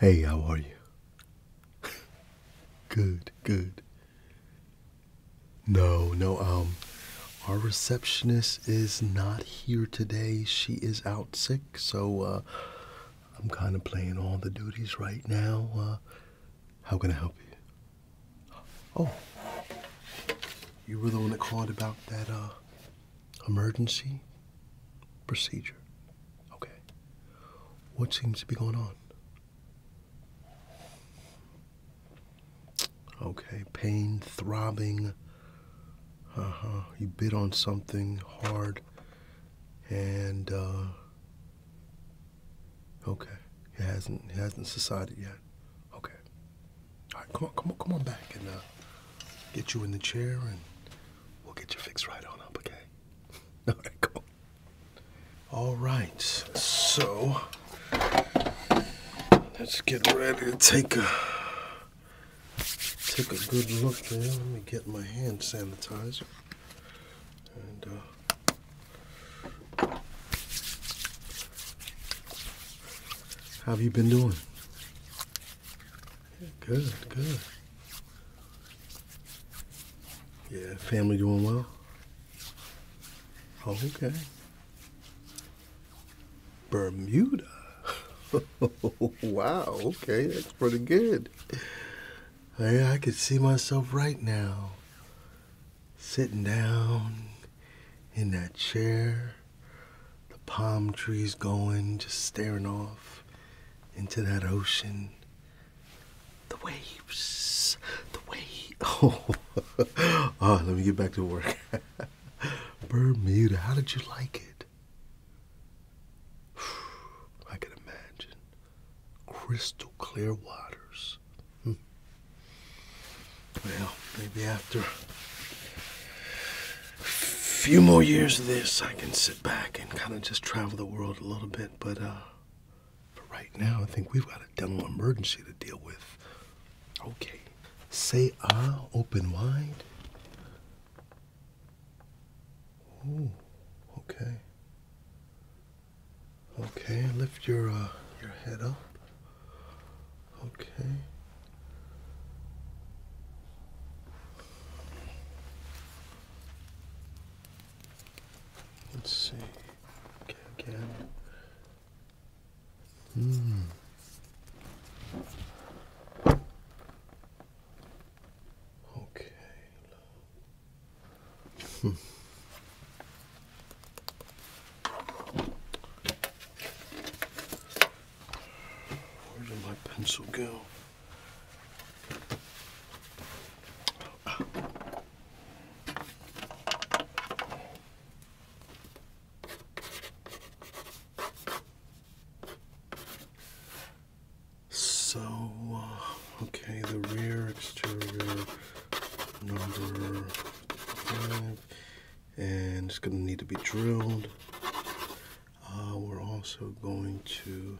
Hey, how are you? good, good. No, no, um, our receptionist is not here today. She is out sick, so, uh, I'm kind of playing all the duties right now. Uh, how can I help you? Oh, you were the one that called about that, uh, emergency procedure. Okay. What seems to be going on? Okay, pain, throbbing. Uh huh. You bit on something hard and, uh, okay. It hasn't, it hasn't subsided yet. Okay. All right, come on, come on, come on back and, uh, get you in the chair and we'll get you fixed right on up, okay? All right, so let's get ready to take a take a good look there. Let me get my hand sanitizer and. Uh, how have you been doing? Good, good. Yeah, family doing well? Oh, okay. Bermuda. wow, okay, that's pretty good. I could see myself right now sitting down in that chair, the palm trees going, just staring off into that ocean. The waves, the waves. Oh, let me get back to work. Bermuda, how did you like it? I can imagine. Crystal clear waters. Hmm. Well, maybe after a few more years of this, I can back and kind of just travel the world a little bit. But uh, for right now, I think we've got a dental emergency to deal with. Okay. Say ah, open wide. Oh, okay. Okay, lift your uh, your head up. Okay. Let's see. Okay, Hmm. Okay. Hmm. Where did my pencil go? So, uh, okay, the rear exterior number five, and it's going to need to be drilled. Uh, we're also going to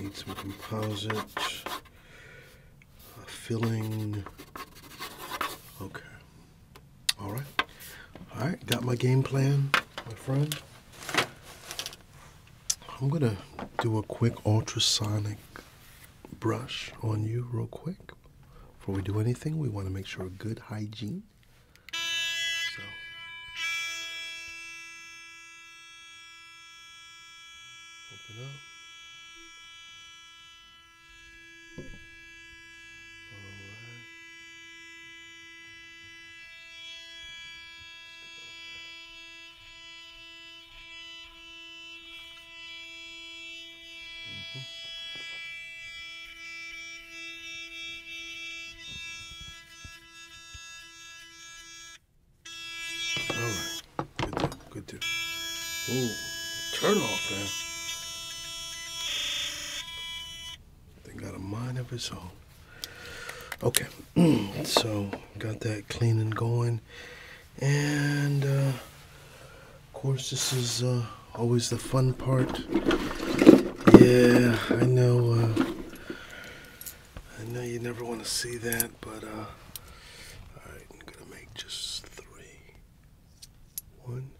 need some composite uh, filling. Okay. All right. All right. Got my game plan, my friend. I'm going to do a quick ultrasonic brush on you real quick. Before we do anything, we want to make sure good hygiene so. Open up. All right. Good deal. Good deal. Ooh, turn off, man. They got a mind of its own. Okay, mm, so got that clean and going. And, uh, of course, this is uh, always the fun part. Yeah, I know. Uh, I know you never want to see that, but uh, all right, I'm gonna make just three. One,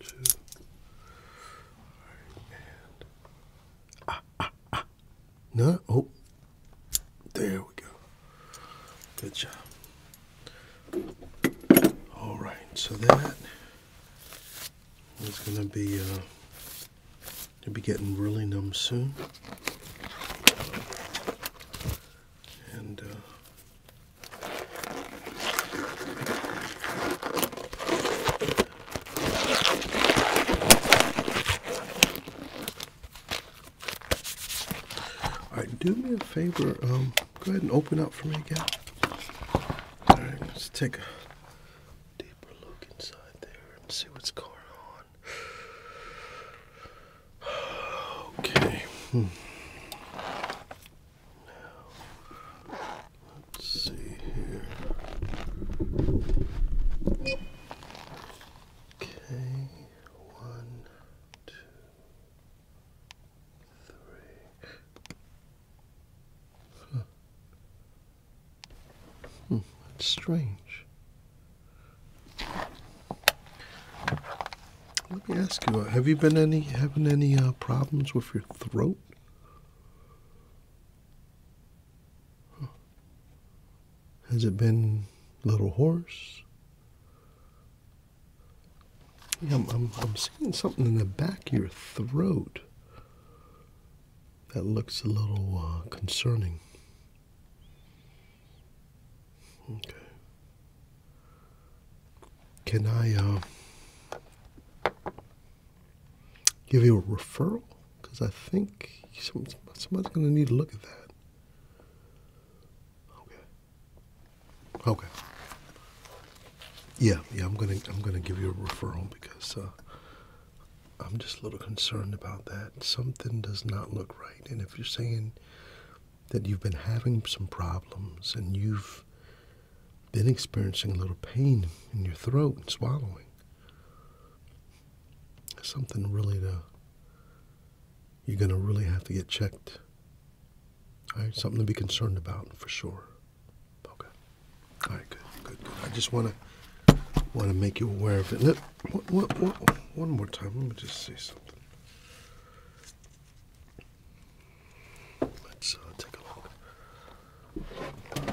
two, and ah, ah, ah. No, oh, there we go. Good job. All right, so that is going to be uh, to be getting really numb soon. And uh, all right, do me a favor. Um, Go ahead and open up for me again. All right, let's take a deeper look inside there and see what's going on. Okay. Hmm. Now, let's see here. Okay, one, two, three. Hmm. Hmm, that's strange. Let me ask you: uh, Have you been any having any uh, problems with your throat? Has it been a little hoarse? I'm, seeing something in the back of your throat that looks a little uh, concerning. Okay. Can I uh, give you a referral? Because I think somebody's going to need to look at that. Okay. Okay. Yeah, yeah, I'm gonna I'm gonna give you a referral because uh, I'm just a little concerned about that. Something does not look right, and if you're saying that you've been having some problems and you've been experiencing a little pain in your throat and swallowing, something really to you're gonna really have to get checked something to be concerned about for sure. Okay. All right, good, good, good. I just want to want to make you aware of it. one more time. Let me just say something. Let's uh, take a look.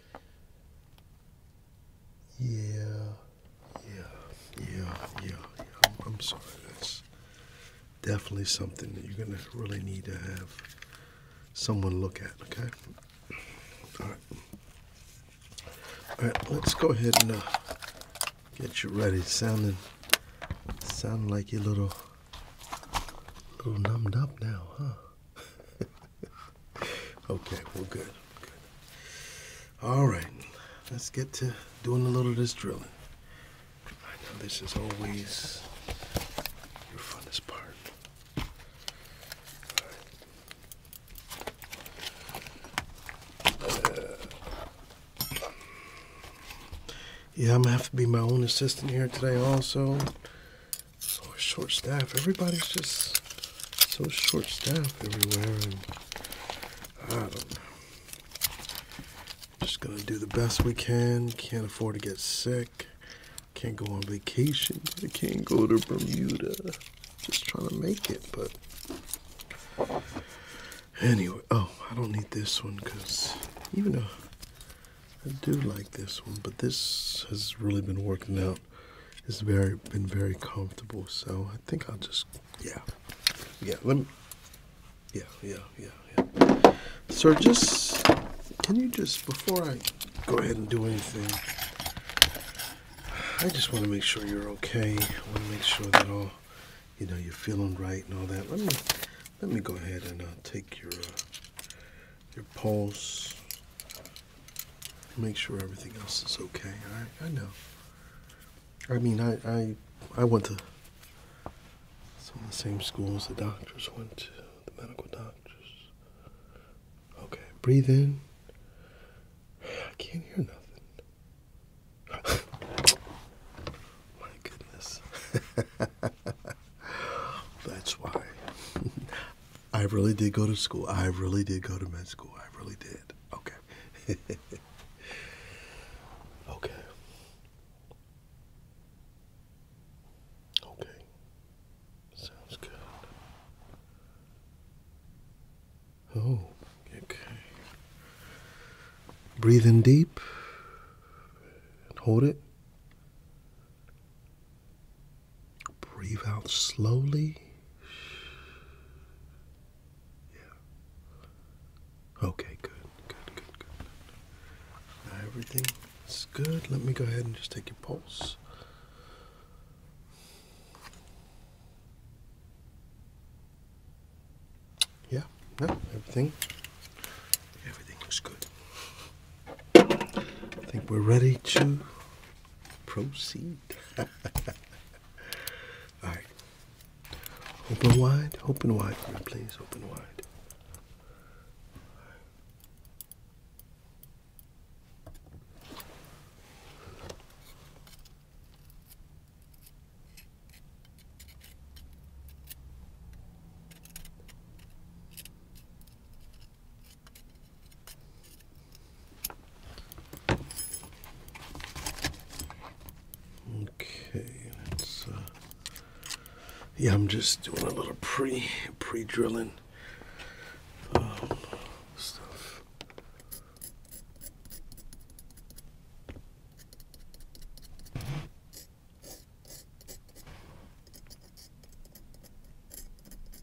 Yeah, yeah, yeah, yeah, yeah. I'm, sorry. That's definitely something that you're going to really need to have someone look at, okay? All right. All right, let's go ahead and uh, get you ready. Sounding, sounding like you're a little, little numbed up now, huh? okay, well, good, good. All right, let's get to doing a little of this drilling. I know this is always your funnest part. Uh, yeah, I'm gonna have to be my own assistant here today, also so short staff. Everybody's just so short staff everywhere, and I don't know. Just gonna do the best we can. Can't afford to get sick. Can't go on vacation. can't go to Bermuda. Just trying to make it, but anyway. Oh, I don't need this one because even though I do like this one, but this has really been working out out. It's very been very comfortable. So I think I'll just yeah, yeah. Let me yeah, yeah, yeah, yeah. Sir, just can you just before I go ahead and do anything, I just want to make sure you're okay. I want to make sure that all you know you're feeling right and all that. Let me let me go ahead and uh, take your uh, your pulse. Make sure everything else is okay. I I know. I mean, I I I went to some of the same schools the doctors went to, the medical doctors. Okay, breathe in. I can't hear nothing. My goodness. That's why I really did go to school. I really did go to med school. I really did. Okay. okay. Okay. Sounds good. Oh, okay. Breathe in deep hold it. Breathe out slowly. Yeah. Okay, good, good, good, good. Now everything is good. Let me go ahead and just take your pulse. Yeah, no, everything. Everything looks good. I think we're ready to Proceed. All right. Open wide. Open wide please. Open wide. Okay, uh, yeah, I'm just doing a little pre pre drilling um, stuff.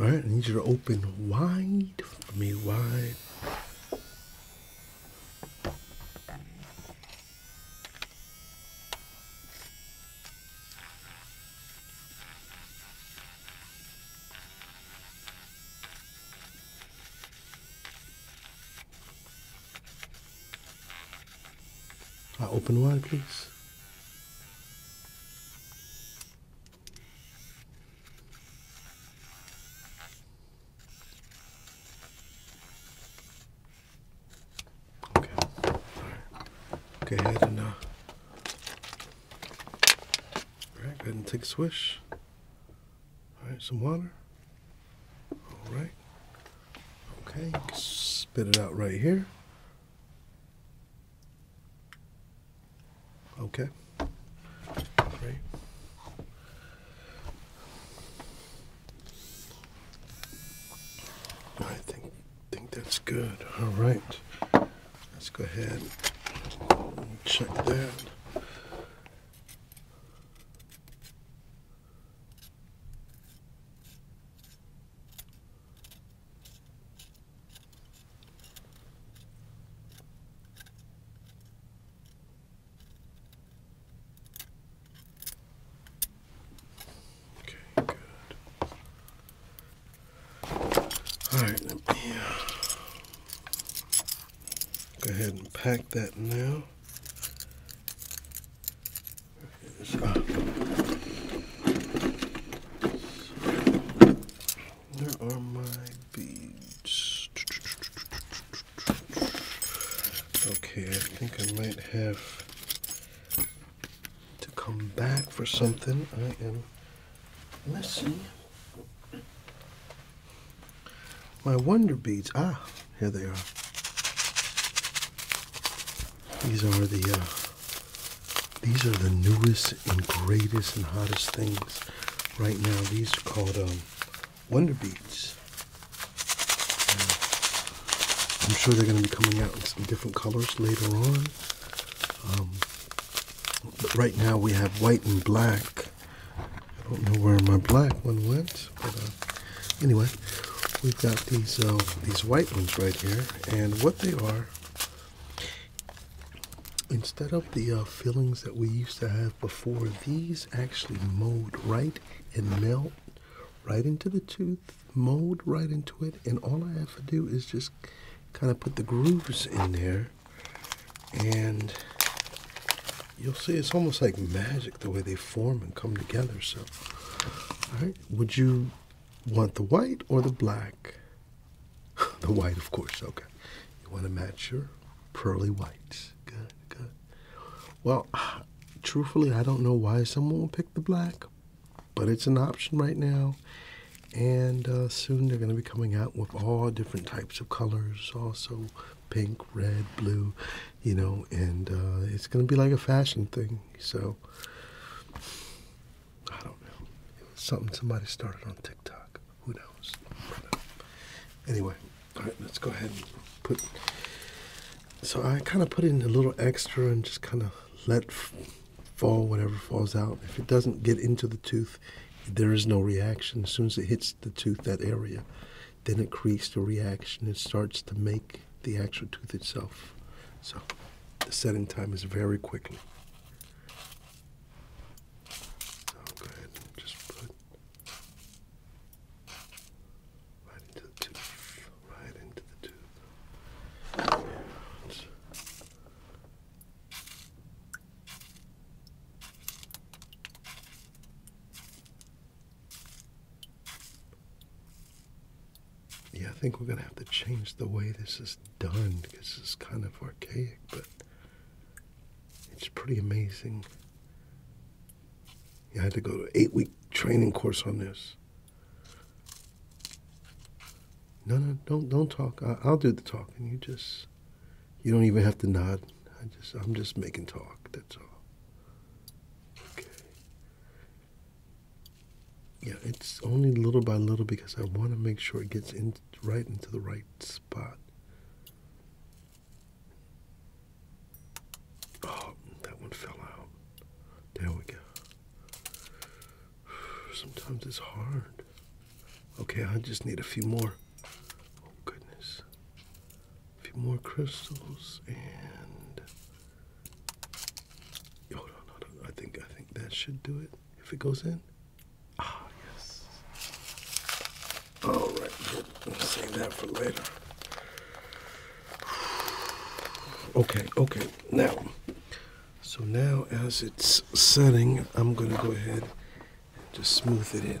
All right, I need you to open wide for me, wide. I uh, open wide, please. Okay. All right. Go ahead and uh, all right, go ahead and take a swish. All right, some water. All right. Okay, spit it out right here. Okay. Great. I think think that's good. All right. Let's go ahead and check that. Okay, good. All right, let me uh, go ahead and pack that now. There it is. Ah. There are my beads? Okay, I think I might have to come back for something. I am missing my wonder beads. Ah, here they are. These are the uh, these are the newest and greatest and hottest things right now. These are called um, Wonder Beads. I'm sure they're going to be coming out in some different colors later on. Um, but right now we have white and black. I don't know where my black one went, but uh, anyway, we've got these uh, these white ones right here, and what they are Instead of the uh, fillings that we used to have before, these actually mold right and melt right into the tooth, mold right into it, and all I have to do is just kind of put the grooves in there, and you'll see it's almost like magic the way they form and come together. So, all right, would you want the white or the black? the white, of course. Okay. You want to match your pearly whites. Good, good. Well, truthfully, I don't know why someone would pick the black, but it's an option right now. And uh, soon they're going to be coming out with all different types of colors, also pink, red, blue, you know, and uh, it's going to be like a fashion thing. So I don't know. It was something somebody started on TikTok. Who knows? Anyway, all right, let's go ahead and put. So I kind of put in a little extra and just kind of let fall whatever falls out. If it doesn't get into the tooth, there is no reaction. As soon as it hits the tooth, that area, then it creates the reaction. It starts to make the actual tooth itself. So the setting time is very quickly. So go ahead and just put right into the tooth, right into the tooth. yeah, I think we're going to have to change the way this is done because it's kind of archaic, but it's pretty amazing. You had to go to an eight week training course on this. No, no, don't don't talk. I, will do the talking. You just, you don't even have to nod. I just, I'm just making talk. That's all. Okay. Yeah, it's only little by little because I want to make sure it gets in right into the right spot. Oh, that one fell out. There we go. Sometimes it's hard. Okay, I just need a few more. Oh, goodness. A few more crystals and. Hold oh, on, hold on. I think, I think that should do it if it goes in. Ah, yes. All right, good. save that for later. Okay, okay. Now, so now as it's setting, I'm going to go ahead and just smooth it in.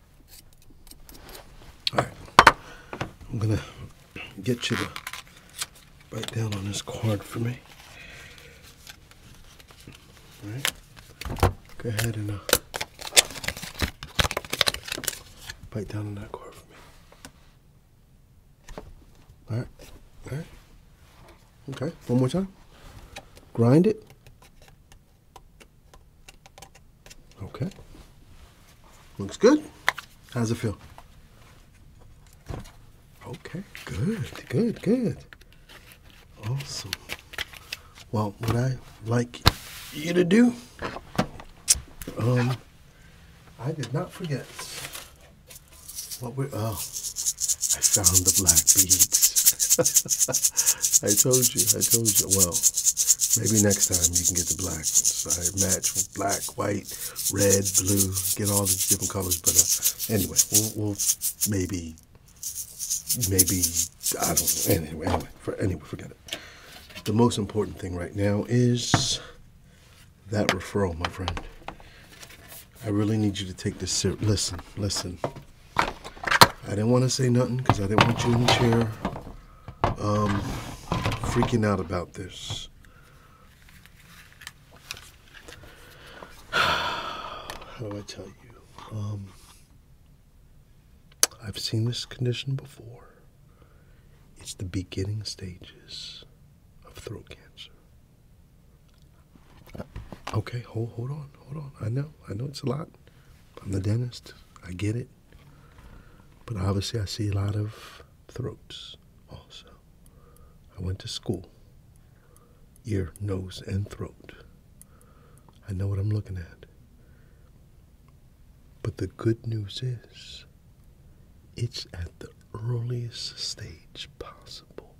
All right, I'm gonna get you to bite down on this cord for me. All right, go ahead and bite uh, down on that cord for me. All right, all right. Okay, one more time. Grind it. Okay. Looks good. How's it feel? Okay, good, good, good. Awesome. Well, what I like you to do, um, I did not forget what we, oh, I found the black beads. I told I told you. Well, maybe next time you can get the black ones. I match black, white, red, blue. Get all the different colors. But uh, anyway, we'll, maybe, maybe I don't know. Anyway, anyway, anyway, forget it. The most important thing right now is that referral, my friend. I really need you to take this ser- listen, listen. I didn't want to say nothing because I didn't want you in the chair um, freaking out about this. How do I tell you? Um, I've seen this condition before. It's the beginning stages of throat cancer. Okay, hold, hold on, hold on. I know, I know it's a lot. I'm the dentist. I get it. But obviously, I see a lot of throats also. I went to school ear, nose, and throat. I know what I'm looking at. But the good news is, it's at the earliest stage possible.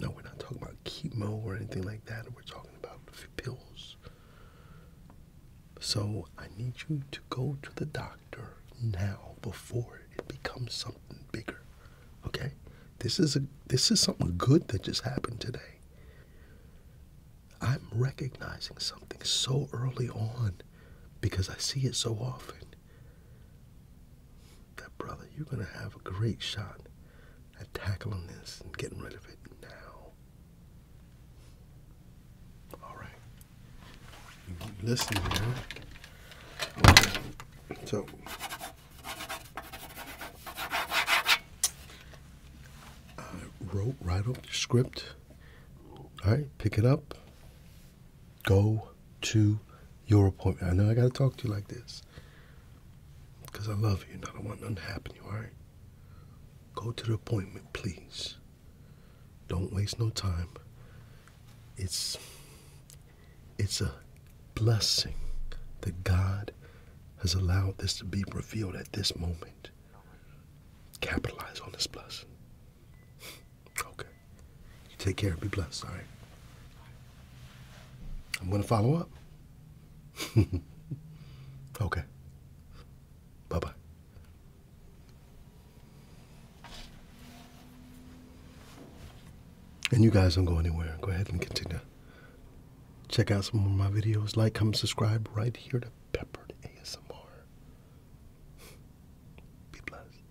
No, we're not talking about chemo or anything like that. We're talking about pills. So I need you to go to the doctor now before it becomes something bigger. Okay? This is a this is something good that just happened today. I'm recognizing something so early on because I see it so often. That brother, you're gonna have a great shot at tackling this and getting rid of it now. All right. Listen here. So. I wrote right up the script. All right, pick it up. Go to your appointment. I know I got to talk to you like this because I love you and I don't want nothing to happen to you, all right? Go to the appointment, please. Don't waste no time. It's it's a blessing that God has allowed this to be revealed at this moment. Capitalize on this blessing. Okay. You take care. Be blessed. All right. I'm going to follow up. okay. Bye bye. And you guys don't go anywhere. Go ahead and continue. Check out some more of my videos. Like, comment, subscribe right here to Peppered ASMR. Be blessed.